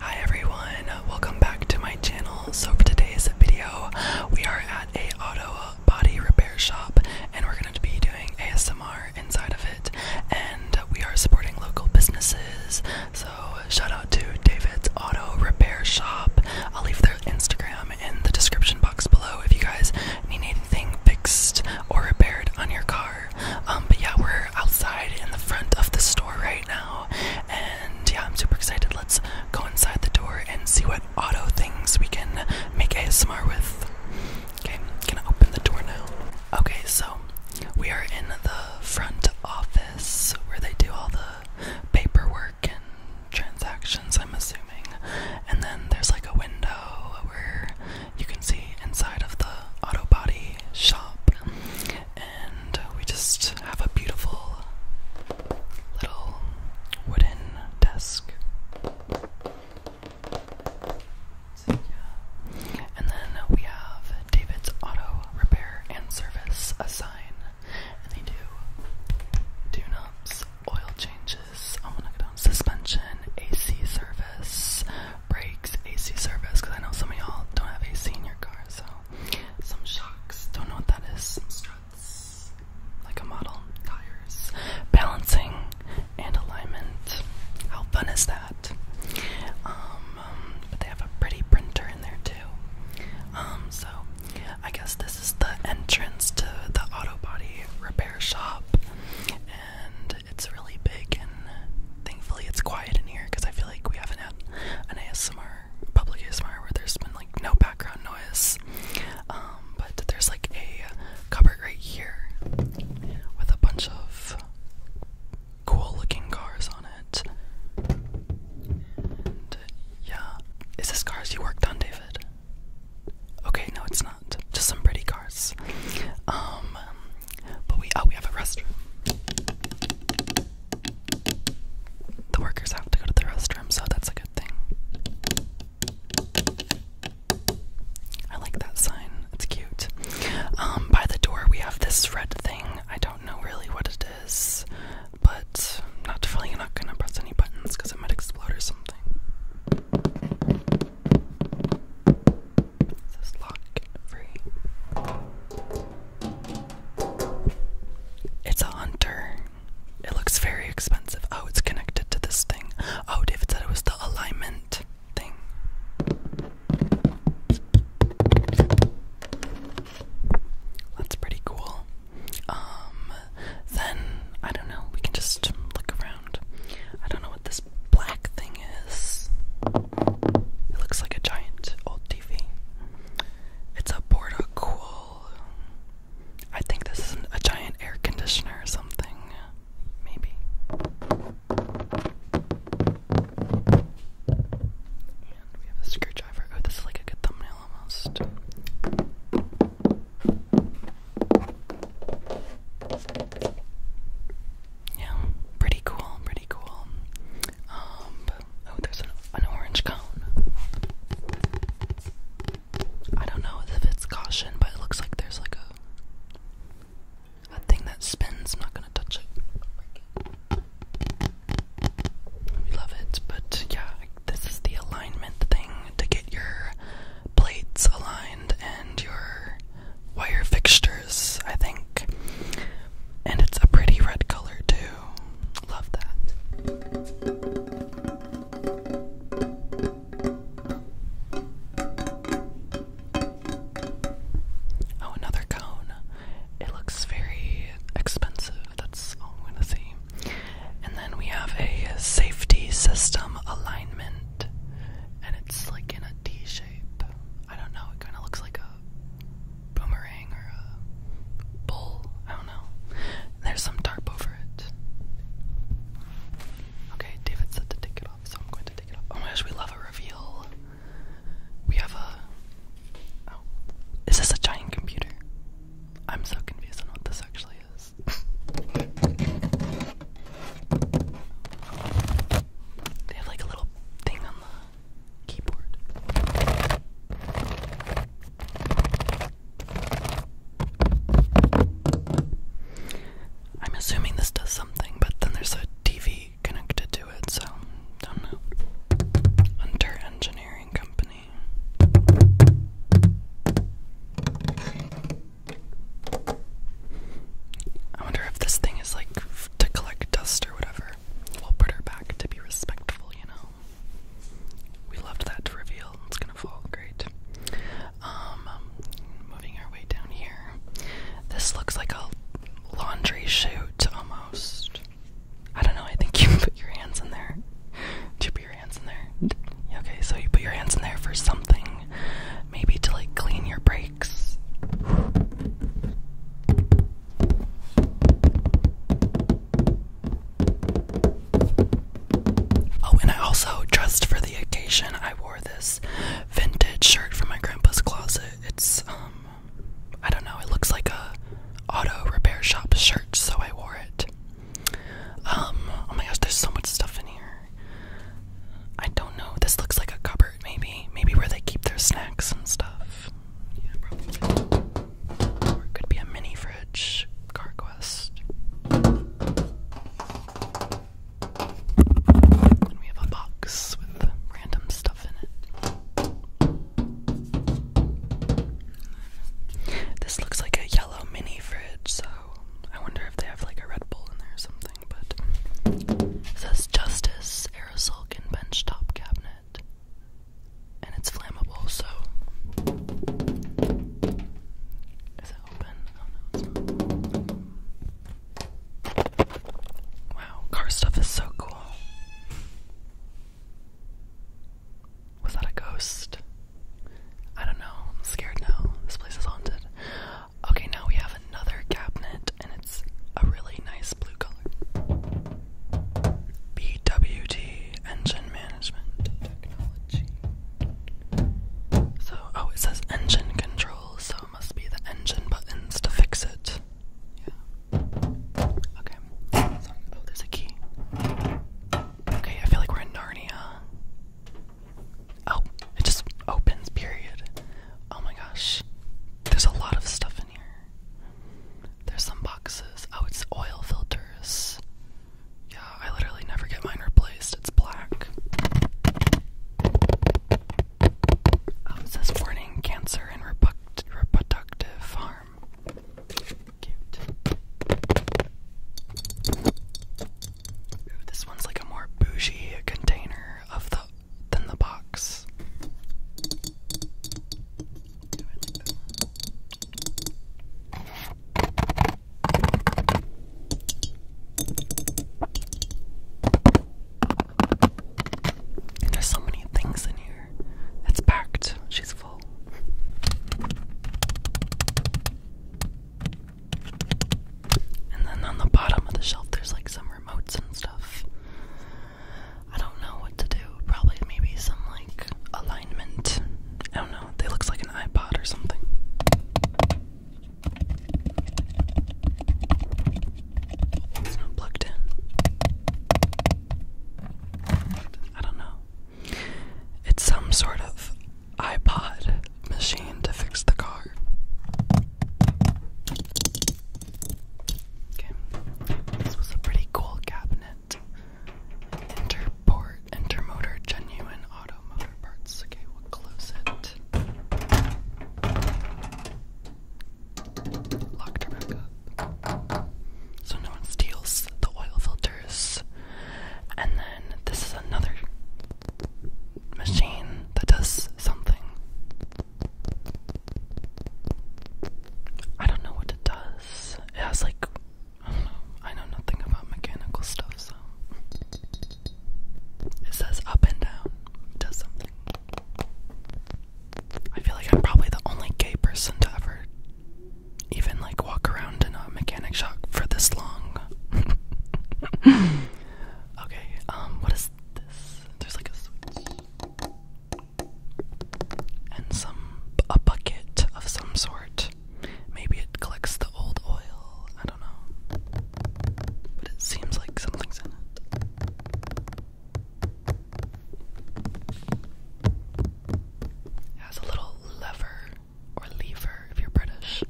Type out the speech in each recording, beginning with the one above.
Hi everyone, welcome back to my channel. So for today's video, we are at a auto body repair shop and we're going to be doing ASMR inside of it and we are supporting local businesses. So shout out to David's Auto Repair Shop. I'll leave their Instagram in the description box below if you guys need anything fixed or repaired on your car. Um, but yeah, we're outside in the front of the store right now and yeah, I'm super excited. Let's go inside the door and see what auto things we can make ASMR with. Okay, gonna open the door now. Okay, so we are in the front office where they do all the paperwork and transactions, I'm assuming. And then there's like a window where you can see inside of the auto body shop and we just have a beautiful little wooden desk. And then we have David's Auto Repair and Service, a sign, and they do tune ups, oil changes, I'm to go down suspension, AC service, brakes, AC service, because I know some of y'all don't have AC in your car, so some shocks, don't know what that is, some struts, like a model, tires, balancing, and alignment. How fun is that? Um, but they have a pretty printer in there too. Um, so I guess this is the entrance to the auto body repair shop, and it's really big and thankfully it's quiet in here because I feel like we haven't an ASMR, public ASMR, where there's been like no background noise. Um, but there's like a cupboard right here with a bunch of cool looking cars on it. yeah. Is this cars you worked on, David? Okay, no, it's not. Just some pretty cars. Um, but we oh we have a restroom. The workers have to go to the restroom, so that's a good thing. I like that sign. It's cute. Um, by the door we have this red thing. I don't know really what it is, but I'm not definitely not gonna press any buttons because it might explode or something. It's a hunter. It looks very expensive. Oh, it's connected to this thing. Oh, David said it was the alignment thing. That's pretty cool. Um, then I don't know. We can just look around. I don't know what this black thing is. It looks like a giant old TV. It's a porta cool. I think this is a giant air conditioner or something. Maybe. And we have a screwdriver. Oh, this is like a good thumbnail almost. Yeah, pretty cool, pretty cool. Um, oh, there's an, orange cone. I don't know if it's caution, but it looks like there's like a a thing that spins. not gonna touch it. We love it, but yeah, this is the alignment thing to get your plates aligned and your wire fixtures I think. And it's a pretty red color too. Love that. Oh, another cone. It looks very expensive. That's all I'm gonna see. And then we have a safety system alignment, and it's like in a D shape. I don't know, it kind of looks like a boomerang or a bull. I don't know. There's some tarp over it. Okay, David said to take it off, so I'm going to take it off. Oh my gosh, we love a reveal. We have a. Oh. Is this a giant computer? I'm so confused on what this actually is. They have like a little thing on the keyboard. I'm assuming this does something, but then there's a TV connected to it, so don't know. Hunter Engineering Company. I wonder if this thing is like to collect dust or whatever. We'll put her back to be respectful, you know. We loved that reveal. It's gonna fall great. Um, moving our way down here. This looks like a laundry chute almost. I don't know. I think you put your hands in there. To put your hands in there? Okay, so you put your hands in there for something, maybe to like clean your bra Oh, and I also, just for the occasion, I wore this vintage shirt from my grandpa's closet. It's, um, I don't know, it looks like a auto repair shop shirt, so I wore it. Um, oh my gosh, there's so much stuff in here. I don't know. This looks like a cupboard, maybe. Maybe where they keep their snacks and stuff. Yeah, probably. Or it could be a mini fridge. CarQuest. And we have a box with random stuff in it. This looks like a yellow mini fridge, so I wonder if they have like a Red Bull in there or something but says Justice Aerosol and Bench Top Cabinet. And it's flammable, so. Is it open? Oh no, Wow, car stuff is so cool. Was that a ghost? I don't know. I'm scared now. This place is haunted. Okay, now we have another cabinet, and it's a really nice blue color. BWT Engine Management Technology. So, oh, it says engine control, so it must be the engine buttons to fix it. Yeah. Okay. Oh, there's a key. Okay, I feel like we're in Narnia. Oh, it just opens, period. Oh my gosh. There's a lot of stuff in here. There's some boxes. Oh, it's oil filters. Yeah, I literally never get mine replaced. It's black. Oh, it says warning cancer and reproductive harm. this one's like a more bougie container of the than the box. There's so many things in here. It's packed. She's full. And then on the bottom of the shelf, there's like some remotes and stuff. I don't know what to do. Probably maybe some like alignment. I don't know. They looks like an iPod or something. It's not plugged in. I don't know. It's some sort of iPod machine to fix the car. Okay, this was a pretty cool cabinet. Interport, Intermotor, genuine auto motor parts. Okay, we'll close it. Locked her So no one steals the oil filters. And then this is another machine that does something. I don't know what it does. It has like I don't know. I know nothing about mechanical stuff, so it says up and down. does something. I feel like I'm probably the only gay person to ever even like walk around in a mechanic shop for this long. okay, um, what is there's like a switch. And some a bucket of some sort. Maybe it collects the old oil. I don't know. But it seems like something's in it. It has a little lever or lever if you're British.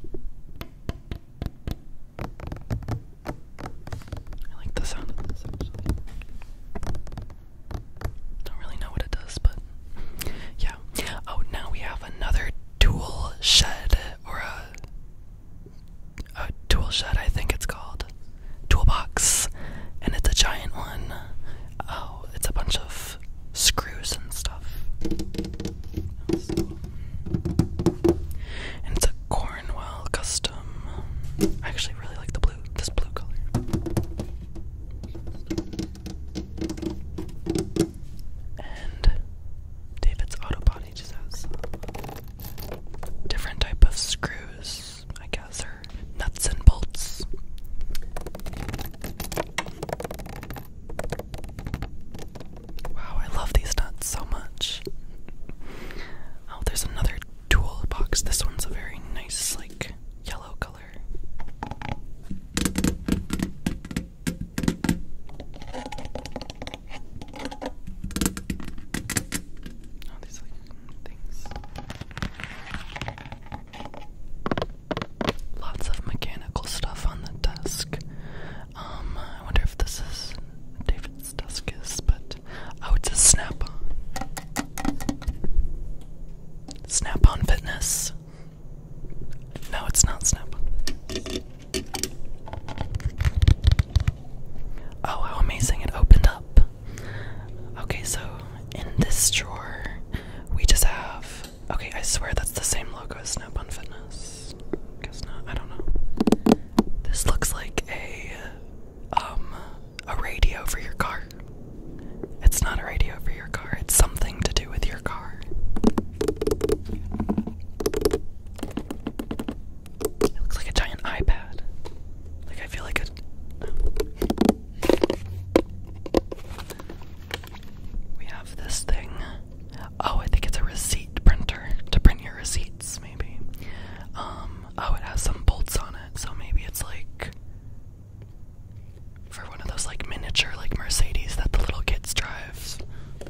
I like the sound of this actually. Don't really know what it does, but yeah. Oh, now we have another tool shed or a a tool shed, I think it's called. Toolbox, and it's a giant one. Oh, it's a bunch of screws and stuff. And it's a corn Custom. I actually really like the blue, this blue color. And David's Auto Body just has different type of screws, I guess, or nuts and bolts. Wow, I love these nuts so much. Oh, there's another tool box. This one's a very nice, like, yellow color. Oh, these like things. Lots of mechanical stuff on the desk. Um, I wonder if this is David's desk is, but oh, it's a Snap-on. Snap-on Fitness. No, it's not Snap-on. Oh, how amazing! It opened up. Okay, so in this drawer, we just have. Okay, I swear that's the same logo as Snap-on Fitness guess not. I don't know. This looks like a um a radio for your car. It's not a radio for your car. It's something to do with your car. It looks like a giant iPad. Like I feel like We have this thing. Oh, I think it's a receipt printer to print your receipt maybe. Um, oh, it has some bolts on it, so maybe it's like for one of those like miniature like Mercedes that the little kids drives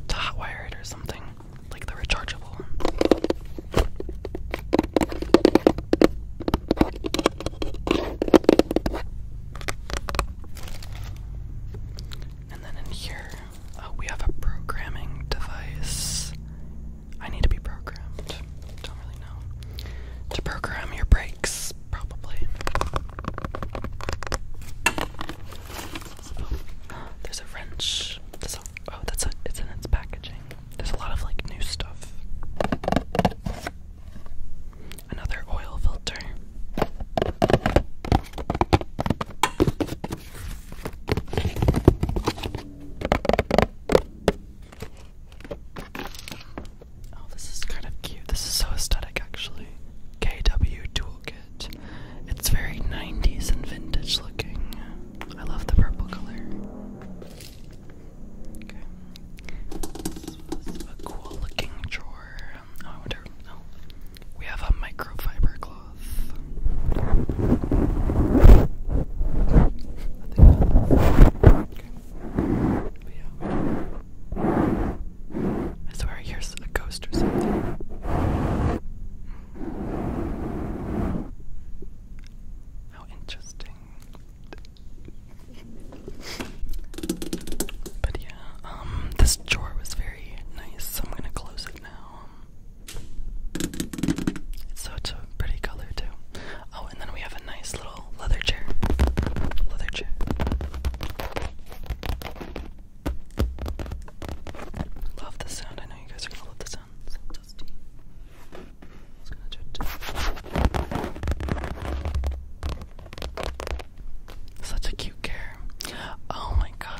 to hotwire it or something, like the rechargeable. And then in here, Oh, we have a programming device. I need to be programmed. Don't really know. To program your brakes, probably. Oh, there's a wrench. oh, that's it. it's in its packaging. There's a lot of like new stuff. Another oil filter. Oh, this is kind of cute. This is so aesthetic, actually. KW Toolkit. It's very 90s and vintage looking. I love the purple color. Okay. This was a cool looking drawer. Oh, I wonder. Oh, we have a microfiber cloth. I swear I hear a ghost or something. How interesting. But yeah, um, this drawer was very nice. I'm gonna close it now. It's such a pretty color too. Oh, and then we have a nice little leather chair. Leather chair. Love the sound. I know you guys are gonna love the sound. So dusty. Just gonna judge. Such a cute care. Oh my god.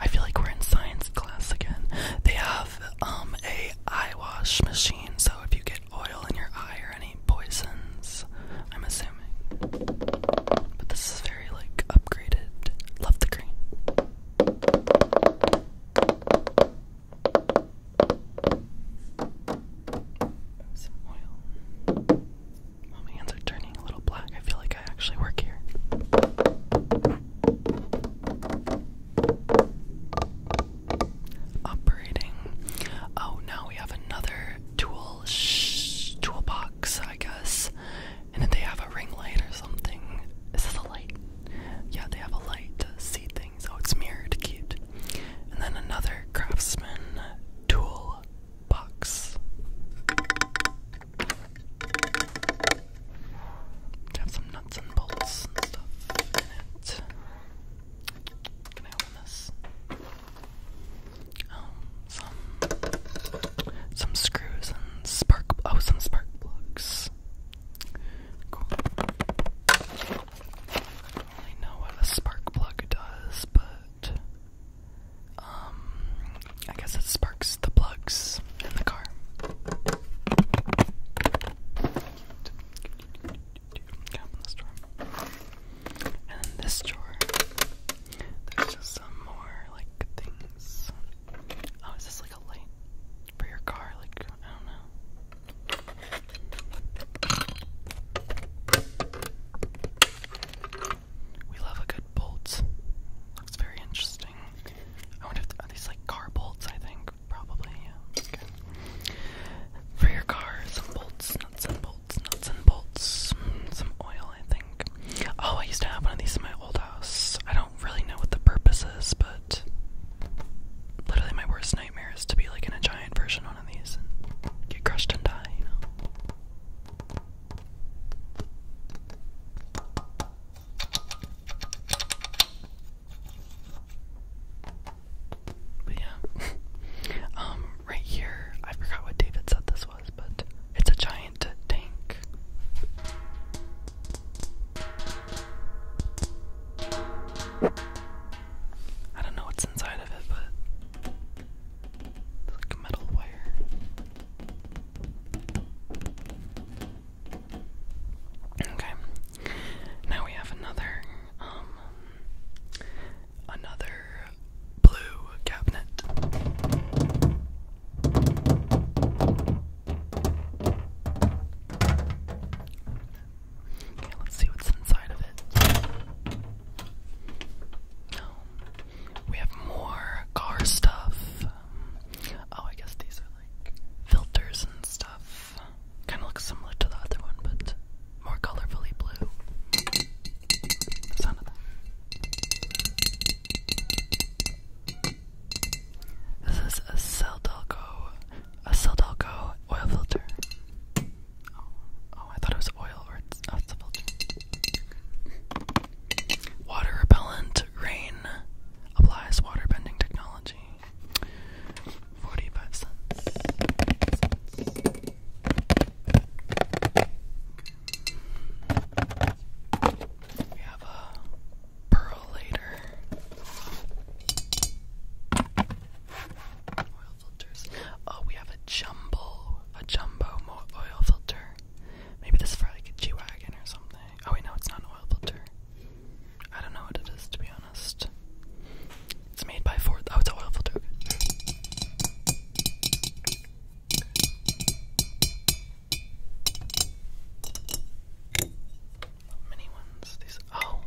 I feel like we're in science class again. They have um a eye wash machine, so if you get oil in your eye or any poisons, I'm assuming. But this is very like upgraded. Love the green. Some oil. Oh, my hands are turning a little black. I feel like I actually work here. Operating. Oh, now we have another tool sh toolbox, I guess. And then they have a ring light or something. Is this a light? Yeah, they have a light to see things. Oh, it's mirrored, cute. And then another craftsman tool box have some nuts and bolts and stuff in it. Can I open this? Um, some some screws and spark oh some spark plugs. I don't really know what a spark plug does, but um, I guess it sparks the plugs in the car. And this drawer, there's just some more like things. Oh, is this like a light for your car? Like I don't know. We love a good bolt. Looks very interesting. I wonder if these like car bolts, I think. Probably, yeah. For your car, some bolts, nuts and bolts, nuts and bolts, mm, some oil, I think. Oh, I used to have one of these in my old house. I don't really know what the purpose is, but literally my worst nightmare is to be like in a giant version of these and get crushed and die, but yeah. um, right here, I forgot what David said this was, but it's a giant tank. I don't know what's inside of it, but it's like metal wire. Okay. Now we have another um another blue cabinet. Okay, let's see what's inside of it. We have more car stuff. Um, oh, I guess these are like filters and stuff. Kind of looks similar to the other one, but more colorfully blue. The sound of that. This is a Celdelco, a Celdelco oil filter. Oh, oh, I thought it was oil, or it's, oh, it's filter. Water repellent rain applies water bending technology. 45 cents. We have a pearl Oil filters. Oh, we have a jumbo, a jumbo oil filter. Maybe this is for like a G Wagon or something. Oh, wait, no, it's not an oil filter. I don't know what it is, to be honest. It's made by Ford. Oh, it's an oil filter. Mini ones. These. Oh,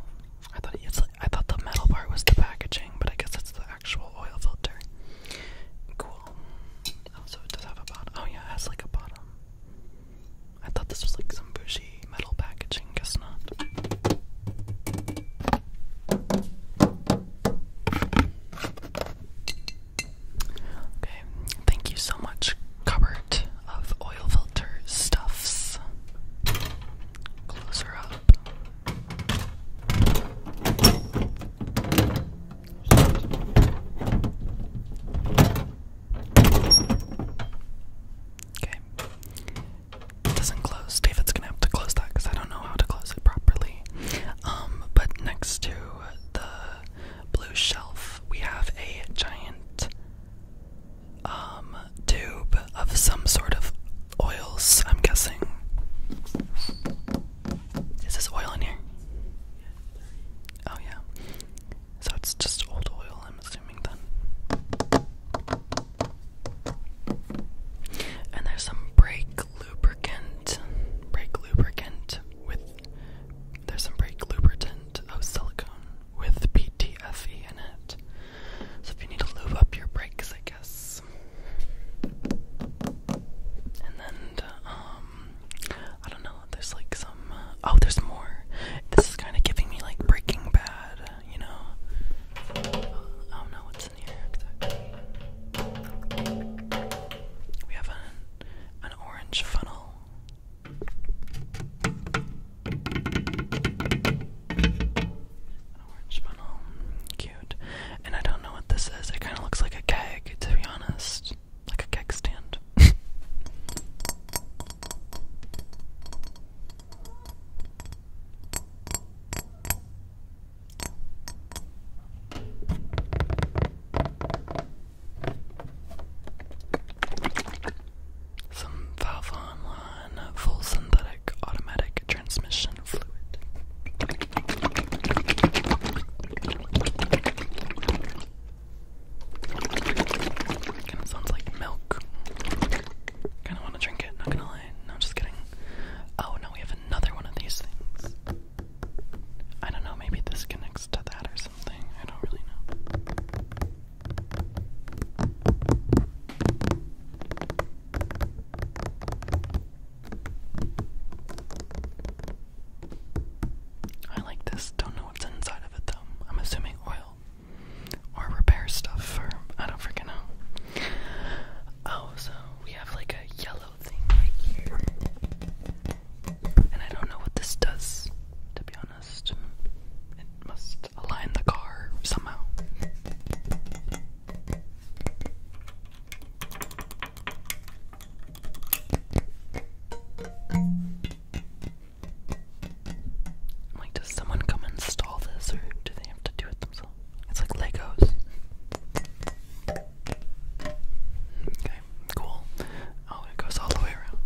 I thought it's. I thought the metal part was the packaging, but I guess it's the actual oil filter. Cool. Also, it does have a bottom. Oh, yeah, has like a bottom. I thought this was like some bougie metal packaging. Guess not. Okay, thank you so much, cupboard of oil filter stuffs. Close up. Okay. doesn't close. David's gonna have to close that because I don't know how to close it properly. Um, but next to the blue shelf, we have a giant um, tube of some sort of oils, I'm guessing. Is this oil in here? Oh, yeah. So it's just old oil, I'm assuming, then. And there's some brake lubricant. Brake lubricant with. There's some brake lubricant of silicone with PTFE in it. So if you need to lube up your brakes, I guess. And then, um, I don't know, there's like some, uh, oh, there's more. This is kind of giving me like Breaking Bad, you know? I uh, do oh, what's in here We have an, an orange funnel. An orange funnel. And I don't know what this is. It kind of looks like a keg, to be honest. Like a keg stand. Some Valve full synthetic automatic transmission. Kinda sounds like milk. Kinda wanna drink it, not gonna lie. No, just kidding. Oh no, we have another one of these things. I don't know, maybe this connects to that or something. I don't really know. I like this. Don't know what's inside of it though. I'm assuming oil or repair stuff or I don't freaking know. Oh, so we have like a yellow thing right here. And I don't know what this does, to be honest. It must align the car somehow. I'm like, does someone come install this or do they have to do it themselves? It's like Legos. Okay, cool. Oh, it goes all the way around.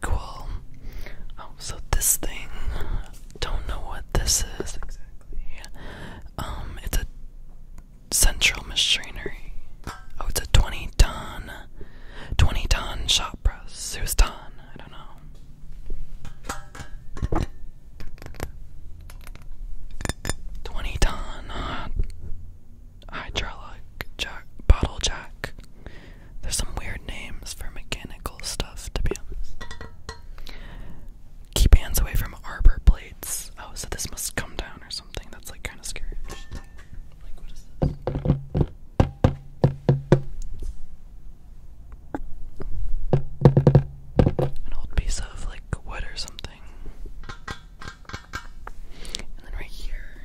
Cool. Oh, so this thing, don't know what this is exactly. Um, it's a central machinery. Oh, it's a 20 ton, 20 ton shop press. Who's ton? I don't know. 20 ton hydraulic jack, bottle jack. There's some weird names for mechanical stuff, to be honest. Keep hands away from arbor blades. Oh, so this must come down or something. That's like kind of scary. An old piece of like wood or something. And then right here.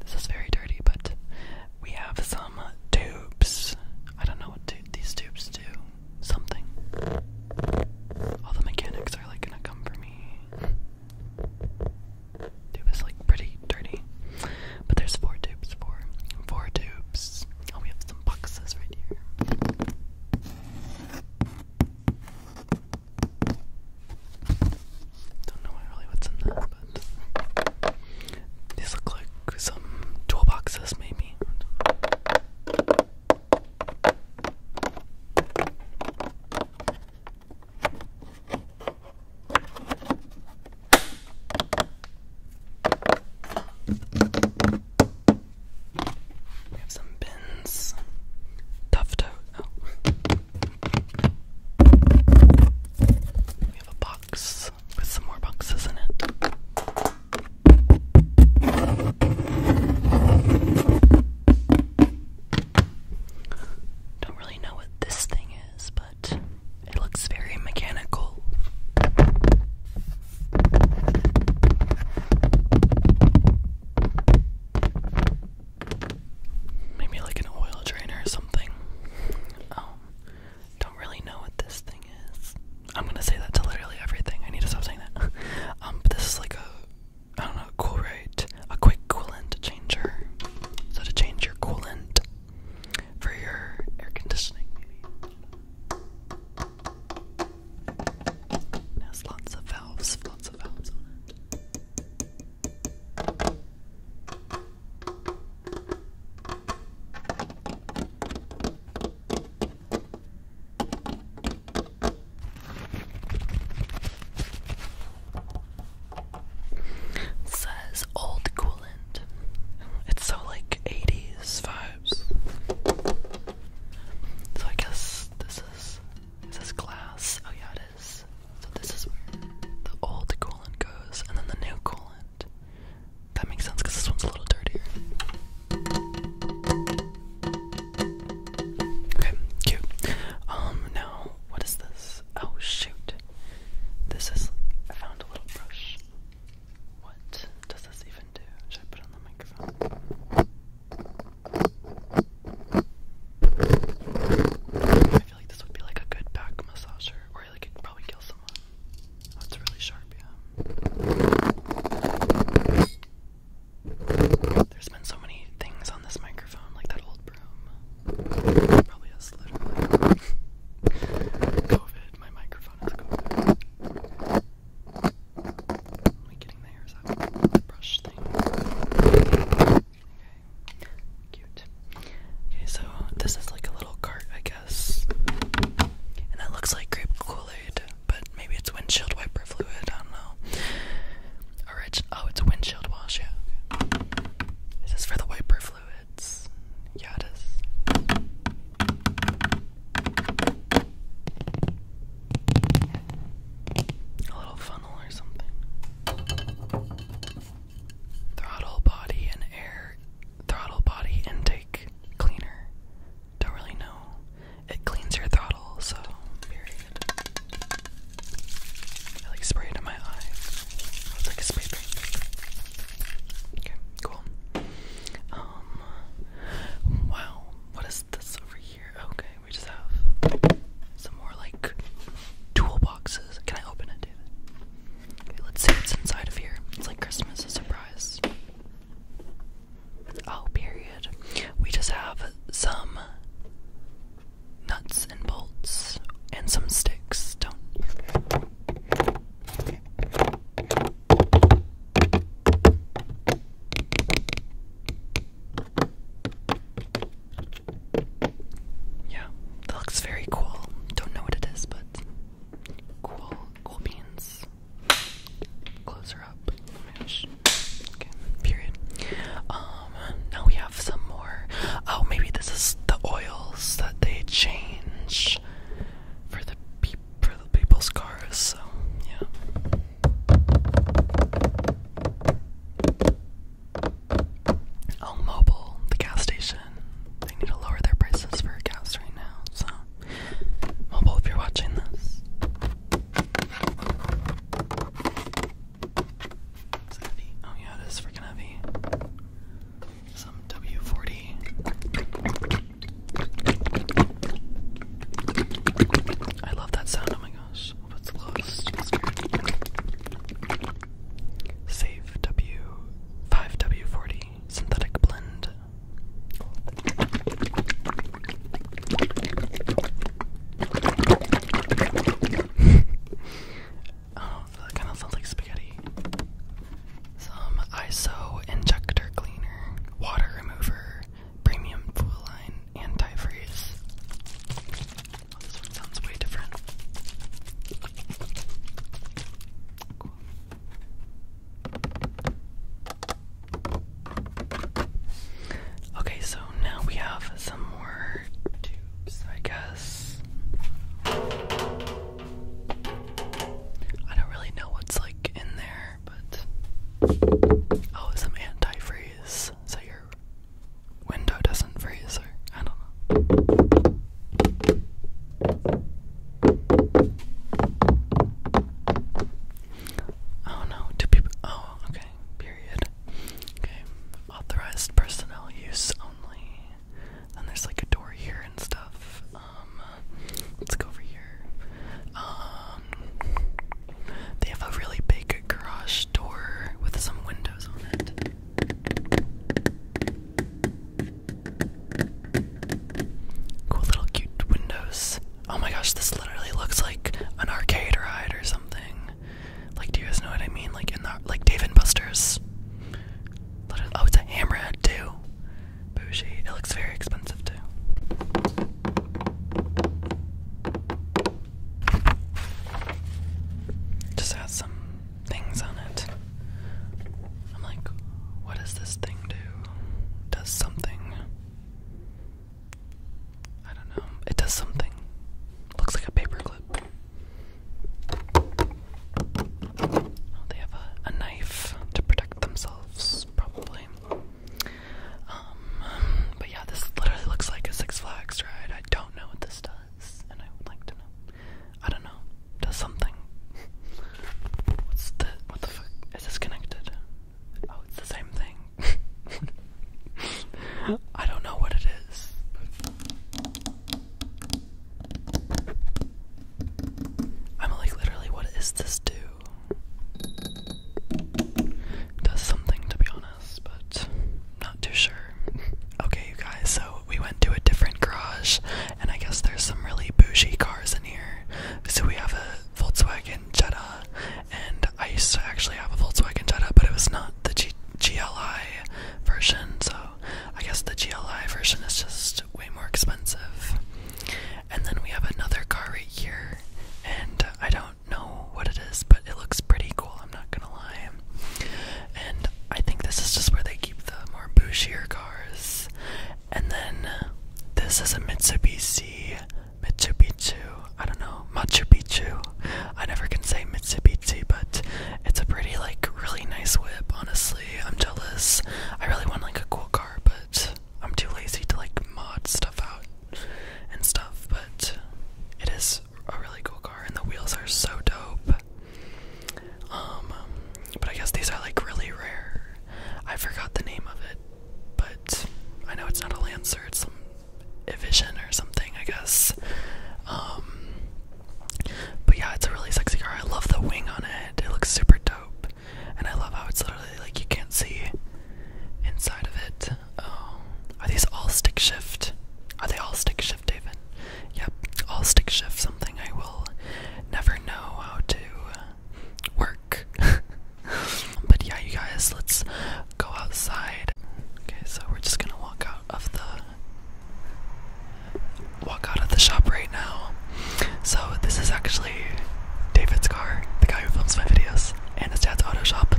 This is very dirty, but we have some tubes. I don't know what do these tubes do. Something. All the mechanics are like gonna come for me. Tube is like pretty dirty. But there's four tubes, four. Four tubes. Oh, we have some boxes right here. Don't know really what's in there, but these look like some toolboxes, maybe. We have some bins. Tough tote. Oh. We have a box with some more boxes in it. Don't really know what this thing is, but it looks very mechanical. Maybe like an oil drainer or something. Um, don't really know what this thing is. I'm gonna say that to literally everything. I need to stop saying that. Um, but this is like a, I don't know, cool right? A quick coolant changer. So to change your coolant for your air conditioning, maybe. It has lots of valves, lots of valves on it. Says old coolant. It's so like 80s vibes. So I guess this is this is glass. Oh yeah, it is. So this is where the old coolant goes, and then the new coolant. That makes sense because this one's a little dirtier. Okay, cute. Um, now what is this? Oh shoot, this is. I found a little brush. What does this even do? Should I put on the microphone? I feel like this would be like a good back massager, or like it could probably kill someone. Oh, it's really sharp, yeah. There's been so many things on this microphone, like that old broom. Probably has literally COVID. My microphone is COVID. Am I getting Okay. so this is like a little cart, I guess. And that looks like grape kool but maybe it's windshield wiper fluid, I don't know. oh, it's windshield wash, yeah. Is for the wiper fluids? Yeah, it is. A little funnel or something. Throttle body and air. Throttle body intake cleaner. Don't really know. It cleans your throttle, so I like spray it in my eye. It's like a spray paint. Okay, cool. Um, wow, what is this over here? Okay, we just have some more like toolboxes. Can I open it, David? let's see what's inside of here. It's like Christmas a surprise. Oh, period. We just have some nuts and bolts and some sticks. Don't. Yeah, that looks very cool. Don't know what it is, but cool, cool beans. Closer up. Oh okay, period. Um, now we have some more. Oh, maybe this is the oils that they change for the, for the people's cars. So, yeah. Oh, mobile, the gas station. They need to lower their prices for gas right now. So, mobile, if you're watching this. heavy? Oh, yeah, it is freaking heavy. Some W40. I love that sound, oh my gosh gosh, what's lost? Save W five W forty synthetic blend. oh, that kind of sounds like spaghetti. Some ISO injector cleaner, water remover, premium full line antifreeze. Oh, this one sounds way different. Okay, so now we have some more tubes, I guess. I don't really know what's like in there, but. Oh, some antifreeze so your window doesn't freeze, I don't know. Oh no, two people. Oh, okay, period. Okay, authorized personnel use only. And there's like a door here and stuff. Um, let's go over here. Um, they have a really big garage door with some windows on it. Cool little cute windows. Oh my gosh, this literally looks like an arcade ride or something. Like, do you guys know what I mean? Like in the like Dave and Buster's. oh, it's a hammerhead too. Bougie. It looks very expensive too. Just has some things on it. I'm like, what does this thing do? Does something. I don't know. It does something. Looks like a paperclip. Oh, they have a knife to protect themselves, probably. Um, but yeah, this literally looks like a Six Flags ride. I don't know what this does, and I would like to know. I don't know. Does something? What's the? What the fuck? Is this connected? Oh, it's the same thing. I don't know what it is. I'm like, literally, what is this do? does something to be honest, but not too sure. Okay, you guys, so we went to a different garage, and I guess there's some really bougie cars in here. So we have a Volkswagen Jetta, and I actually have a Volkswagen Jetta, but it was not the GLI version, so I guess the GLI version is just way more expensive. And then we have another car right here, and I don't know what it is, but it looks pretty cool, I'm not gonna lie. And I think this is just where they keep the more bushier cars. And then this is a Mitsubishi, Mitsubishi, I don't know, Machu Picchu. I never can say Mitsubishi, but it's a pretty, like, really nice whip, honestly. I'm jealous. I really want, like, a cool car, but I'm too lazy to like mod stuff out and stuff, but it is a really cool car and the wheels are so dope. Um, but I guess these are like really rare. I forgot the name of it, but I know it's not a Lancer, it's some Evision or something, I guess. Um, but yeah, it's a really sexy car. I love the wing on it. It looks super dope. And I love how it's literally like you can't see inside of it. Um, are these all stick shift? Are they all stick shift, David? Yep, all stick shift. Something I will never know how to work. but yeah, you guys, let's go outside. Okay, so we're just gonna walk out of the walk out of the shop right now. So this is actually. David's car, the guy who films my videos, and his dad's auto shop.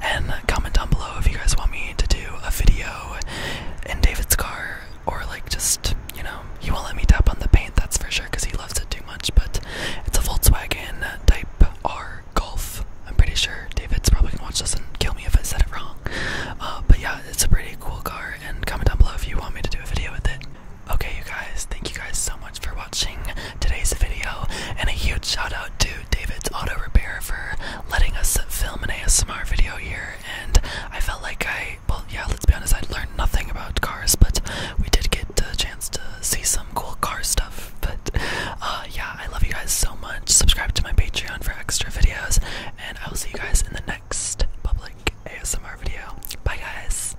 And comment down below if you guys want me to do a video in David's car, or like just, you know, he won't let me tap on the paint, that's for sure, because he loves it too much. But it's a Volkswagen Type R Golf. I'm pretty sure David's probably gonna watch this and kill me if I said it wrong. Uh, but yeah, it's a pretty cool car, and comment down below if you want me to do a video with it. Okay, you guys, thank you guys so much for watching today's video, and a huge shout out to David's Auto Repair for letting us film an ASMR video here. And I felt like I, well, yeah, let's be honest, I learned nothing about cars, but we did get a chance to see some cool car stuff. But uh, yeah, I love you guys so much. Subscribe to my Patreon for extra videos, and I will see you guys in the next public ASMR video. Bye, guys.